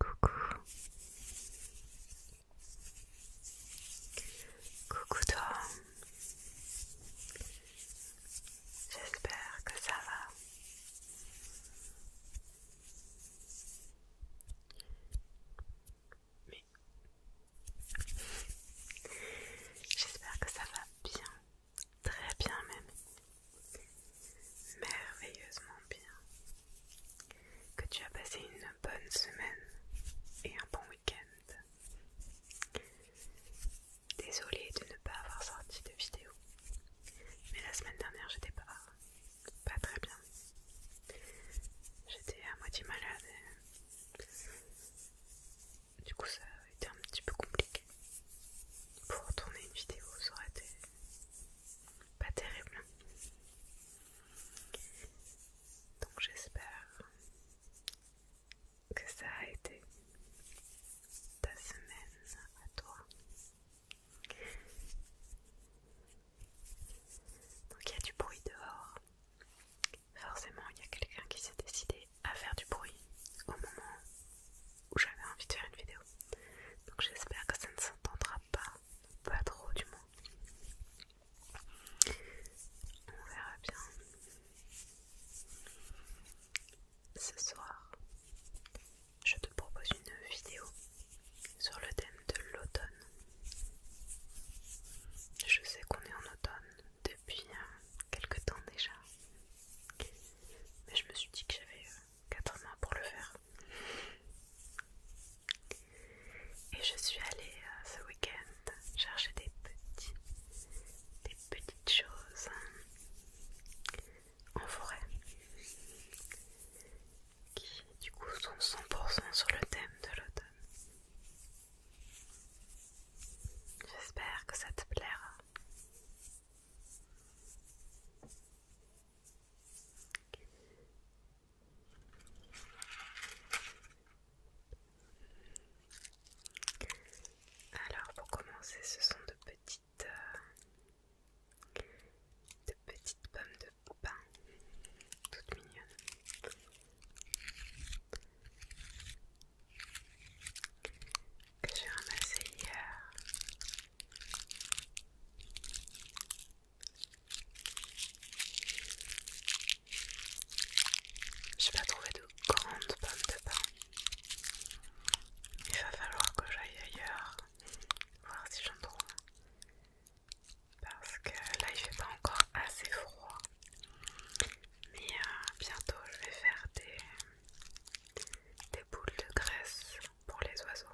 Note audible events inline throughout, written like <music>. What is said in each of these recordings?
Coucou. Coucou toi. J'espère que ça va mais j'espère que ça va bien, très bien même, merveilleusement bien, que tu as passé une bonne semaine et un bon week-end. Désolée de ne pas avoir sorti de vidéo, mais la semaine dernière j'étais pas, pas très bien J'étais à moitié malade du coup ça a été un petit peu compliqué. Pour tourner une vidéo, ça aurait été pas terrible. Donc j'espère que ça a été ta semaine à toi. Donc il y a du bruit dehors. Forcément, il y a quelqu'un qui s'est décidé à faire du bruit au moment où j'avais envie de faire une vidéo. Donc j'espère que ça ne s'entendra pas, pas trop du moins. On verra bien. Ce soir, je te propose une vidéo sur le thème de l'automne. Je sais qu'on est en automne depuis euh, quelque temps déjà, mais je me suis dit que j'avais 4 euh, mois pour le faire. Et je suis allée euh, ce week-end chercher des petits, des petites choses hein, en forêt qui du coup sont 100% sur le thème de l'automne. J'espère que ça te plaira. Alors pour commencer, ce sont de petites, euh, de petites pommes de pain, toutes mignonnes que j'ai ramassé hier. J'ai pas trouvé de grandes pommes de pain. Il va falloir que j'aille ailleurs voir si j'en trouve parce que là il fait pas encore assez froid mais euh, bientôt je vais faire des, des boules de graisse pour les oiseaux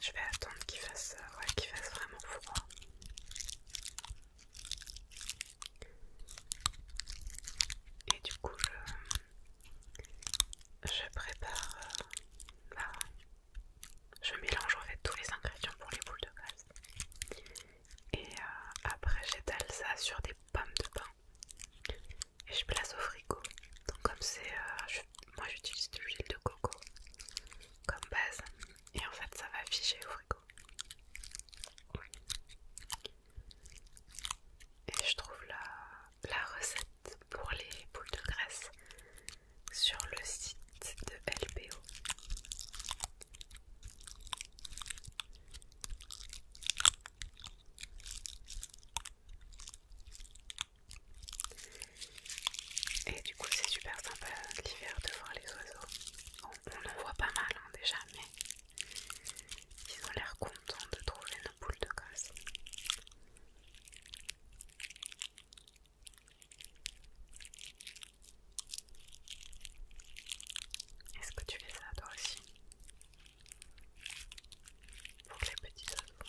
je vais attendre qu'il fasse, euh, qu'il fasse vraiment froid et du coup je, je prépare. Euh, je mélange en fait tous les ingrédients pour les boules de glace. Et euh, après, j'étale ça sur des pommes de pain. Et je place au frigo. Donc, comme c'est. Euh, moi, j'utilise de l'huile de coco comme base. Et en fait, ça va figer au frigo. Et je trouve la, la recette pour les boules de graisse sur le site de LBO. Et du coup c'est super sympa l'hiver de voir les oiseaux. on en voit pas mal hein, déjà mais ils ont l'air contents de trouver nos boules de graisse. Est-ce que tu fais ça toi aussi Pour les petits oiseaux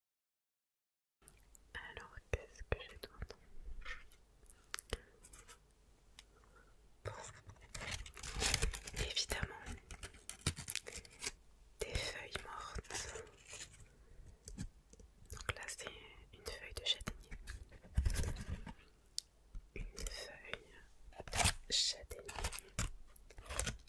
Alors, qu'est-ce que j'ai d'autre évidemment, des feuilles mortes. Donc là, c'est une feuille de châtaignier. Une feuille de châtaignier.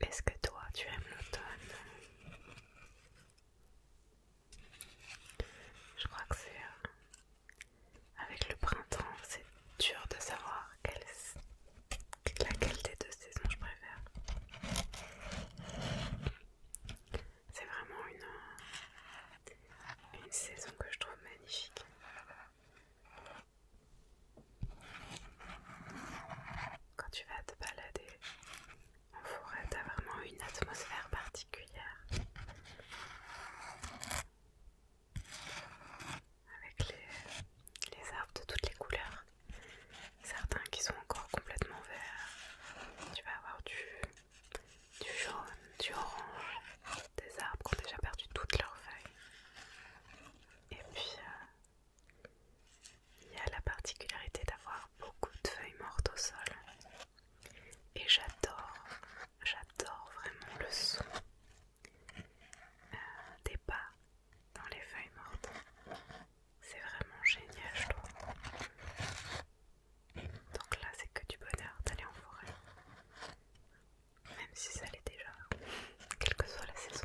Est-ce que toi tu aimes l'automne je crois que c'est... Euh, avec le printemps, c'est dur de savoir laquelle des deux saisons je préfère. C'est vraiment euh, une saison que je trouve magnifique. Quand tu vas te balader en forêt, t'as vraiment une atmosphère particulière. Avec les, arbres de toutes les couleurs. Certains qui sont encore complètement verts. Tu vas avoir du, du jaune, du orange. Des arbres qui ont déjà perdu toutes leurs feuilles. Et puis, euh, il y a la particularité d'avoir beaucoup de feuilles mortes au sol et j'adore, j'adore vraiment le son euh, des pas dans les feuilles mortes. C'est vraiment génial, je trouve. Donc là, c'est que du bonheur d'aller en forêt, même si ça l'est déjà, quelle que soit la saison.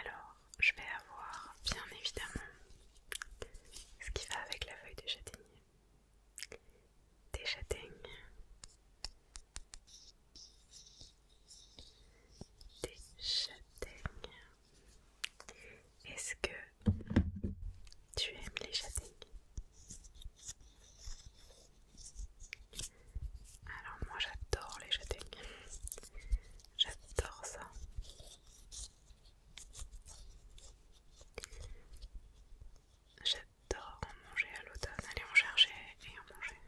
Alors, je vais avoir bien évidemment ce qui va avec la feuille de châtaignier. Des châtaignes, des châtaignes. Est-ce que tu aimes les châtaignes alors moi j'adore les jetons, J'adore ça. J'adore en manger à l'automne, Allez en chercher et en manger.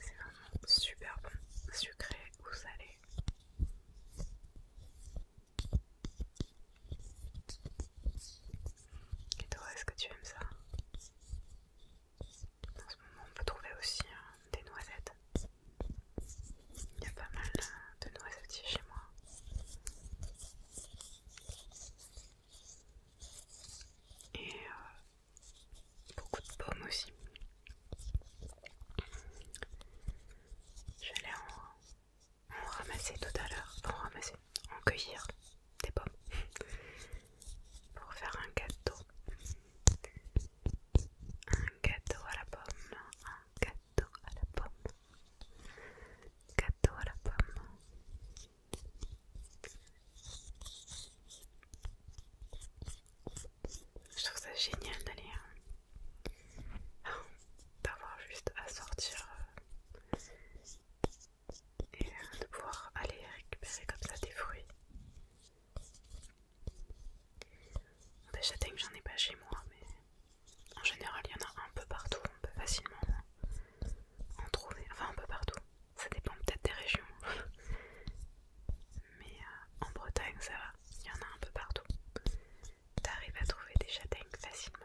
C'est vraiment super bon, sucré ou salé. Et toi, est-ce que tu aimes ça En ce moment, on peut trouver aussi hein, des noisettes. Il y a pas mal euh, de noisettes chez moi. Et euh, beaucoup de pommes aussi. Je en, en ramasser tout à l'heure, en cueillir des pommes pour faire un gâteau. Un gâteau à la pomme, un gâteau à la pomme, gâteau à la pomme. Je trouve ça génial d'aller avoir d'avoir juste à sortir euh, et de pouvoir aller récupérer comme ça des fruits. Des châtaignes, j'en ai pas chez moi, mais en général, il y en a un peu partout. On peut facilement en trouver, enfin un peu partout. Ça dépend peut-être des régions, <laughs> mais euh, en Bretagne, ça va. Il y en a un peu partout. T'arrives à trouver des châtaignes facilement.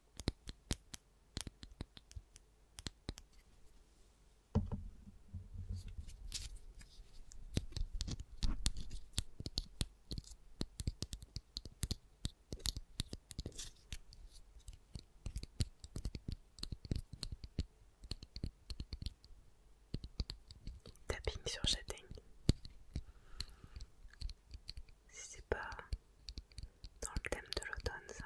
Tapping sur chatting si c'est pas dans le thème de l'automne ça.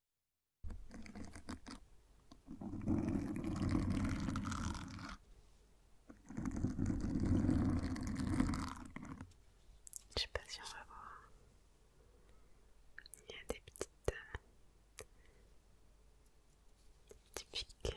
Je sais pas si on va voir. Il y a des petites piques. Euh,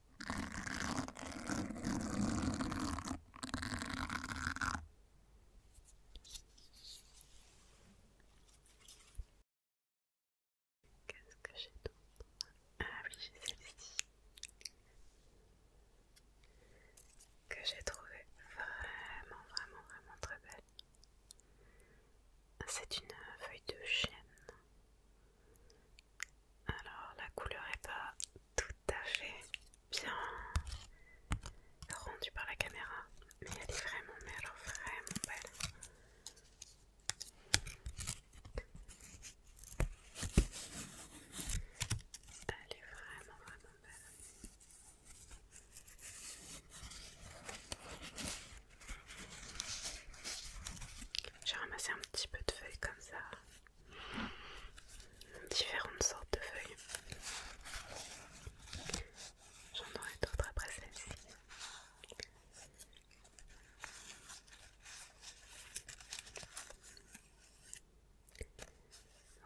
Qu'est-ce que j'ai d'autre Ah oui, j'ai celle-ci que j'ai trouvée vraiment, vraiment, vraiment très belle. C'est une feuille de chêne alors la couleur n'est pas tout à fait bien rendue par la caméra, mais elle est vraiment, belle, vraiment belle. Elle est vraiment, vraiment belle. J'ai ramassé un petit peu de feuilles comme ça différentes sortes de feuilles. J'en aurai d'autres après celle-ci.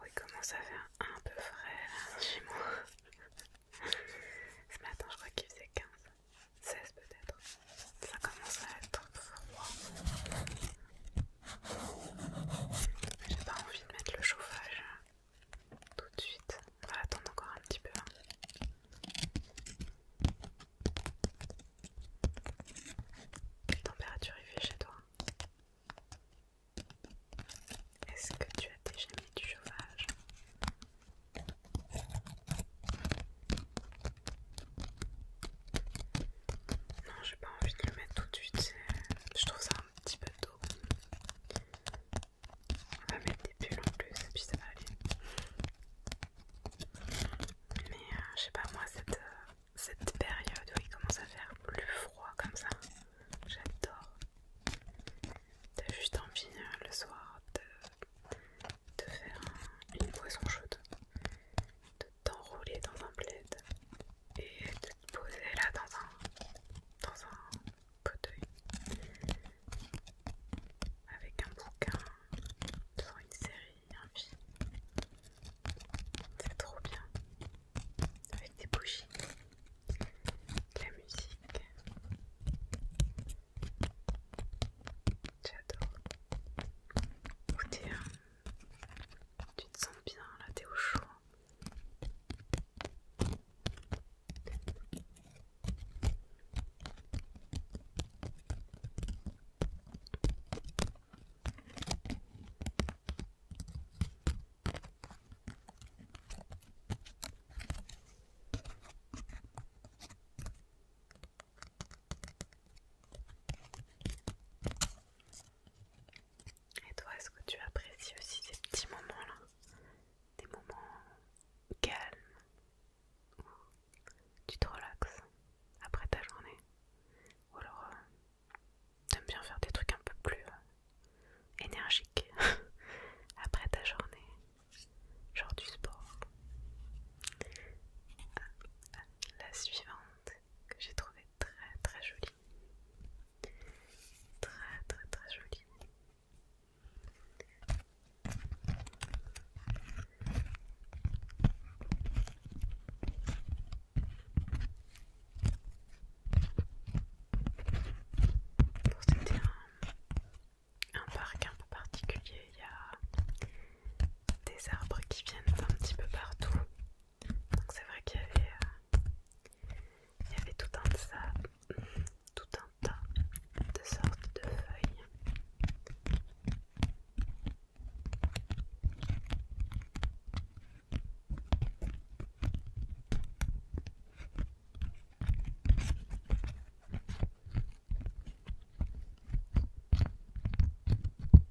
Oui, comment ça fait un peu frais là, chez moi. <laughs> Ce matin, je crois qu'il faisait 15, 16 peut-être. Ça commence à être froid. J'ai pas envie de mettre le chauffage tout de suite. On va attendre encore un petit peu. Quelle hein. température il fait chez toi Est-ce que tu as déjà mis du chauffage non, j'ai pas envie de le mettre tout de suite. Je trouve ça un petit peu tôt. On va mettre des pulls en plus et puis ça va aller. Mais euh, je sais pas, moi, euh, cette, période où il commence à faire plus froid comme ça, j'adore. T'as juste envie euh, le soir de, faire une boisson chaude d'enrouler t'enrouler dans un plaid et de te poser là dans un, dans un avec un bouquin devant une série, un film. C'est trop bien. Avec des bougies, de la musique. J'adore. écouter tu te sens bien là, t'es au chaud. Et toi, est-ce que tu apprécies aussi ces petits moments-là Des moments calmes où tu te relaxes après ta journée Ou alors, euh, tu aimes bien faire des trucs un peu plus euh, énergiques <laughs> après ta journée Genre du sport. Euh, la suivante que j'ai trouvé très très jolie. Très très très jolie. C'était un, un parc un peu particulier, il y a des arbres qui viennent un petit peu partout donc c'est vrai qu'il y, avait euh, tout un, de tout un tas de sortes de feuilles.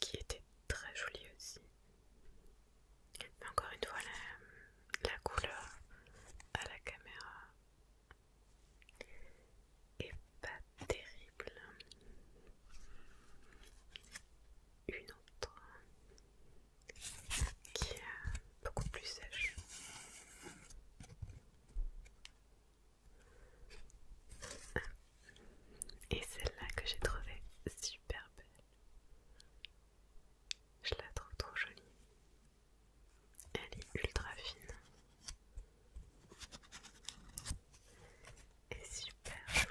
qui était très jolie aussi. Mais encore une fois, la, couleur à la caméra est pas terrible. Une autre qui est beaucoup plus sèche. Et celle-là que j'ai trouvée super belle. Je la trouve trop jolie. Elle est ultra fine. Et super jolie.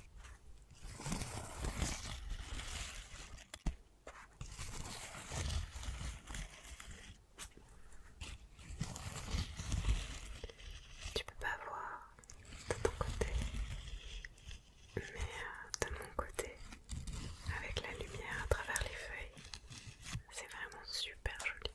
Tu peux pas voir de ton côté, mais euh, de mon côté, avec la lumière à travers les feuilles, c'est vraiment super joli.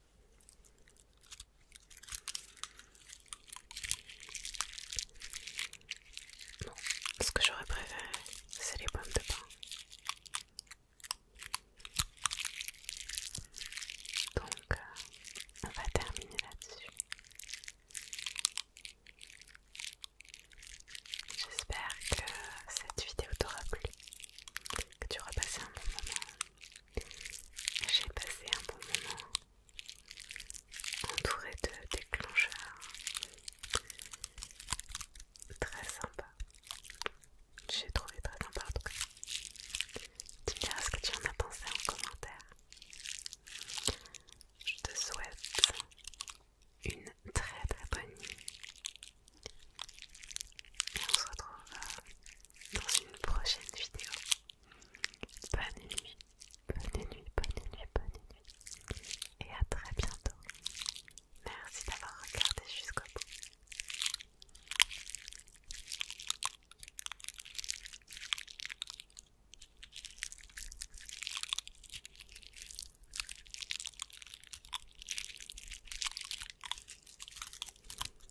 ce que j'aurais préféré, c'est les pommes de pain. Donc, euh, on va terminer là-dessus. J'espère que cette vidéo t'aura plu, que tu auras passé un bon moment j'ai passé un bon moment entouré de déclencheurs très sympa. J'ai trouvé très sympa en tout cas. dis-moi ce que tu en as pensé en commentaire. Je te souhaite une très très bonne nuit. Et on se retrouve dans une prochaine vidéo. Bonne nuit, bonne nuit, bonne nuit, bonne nuit. Et à très bientôt. Merci d'avoir regardé jusqu'au bout.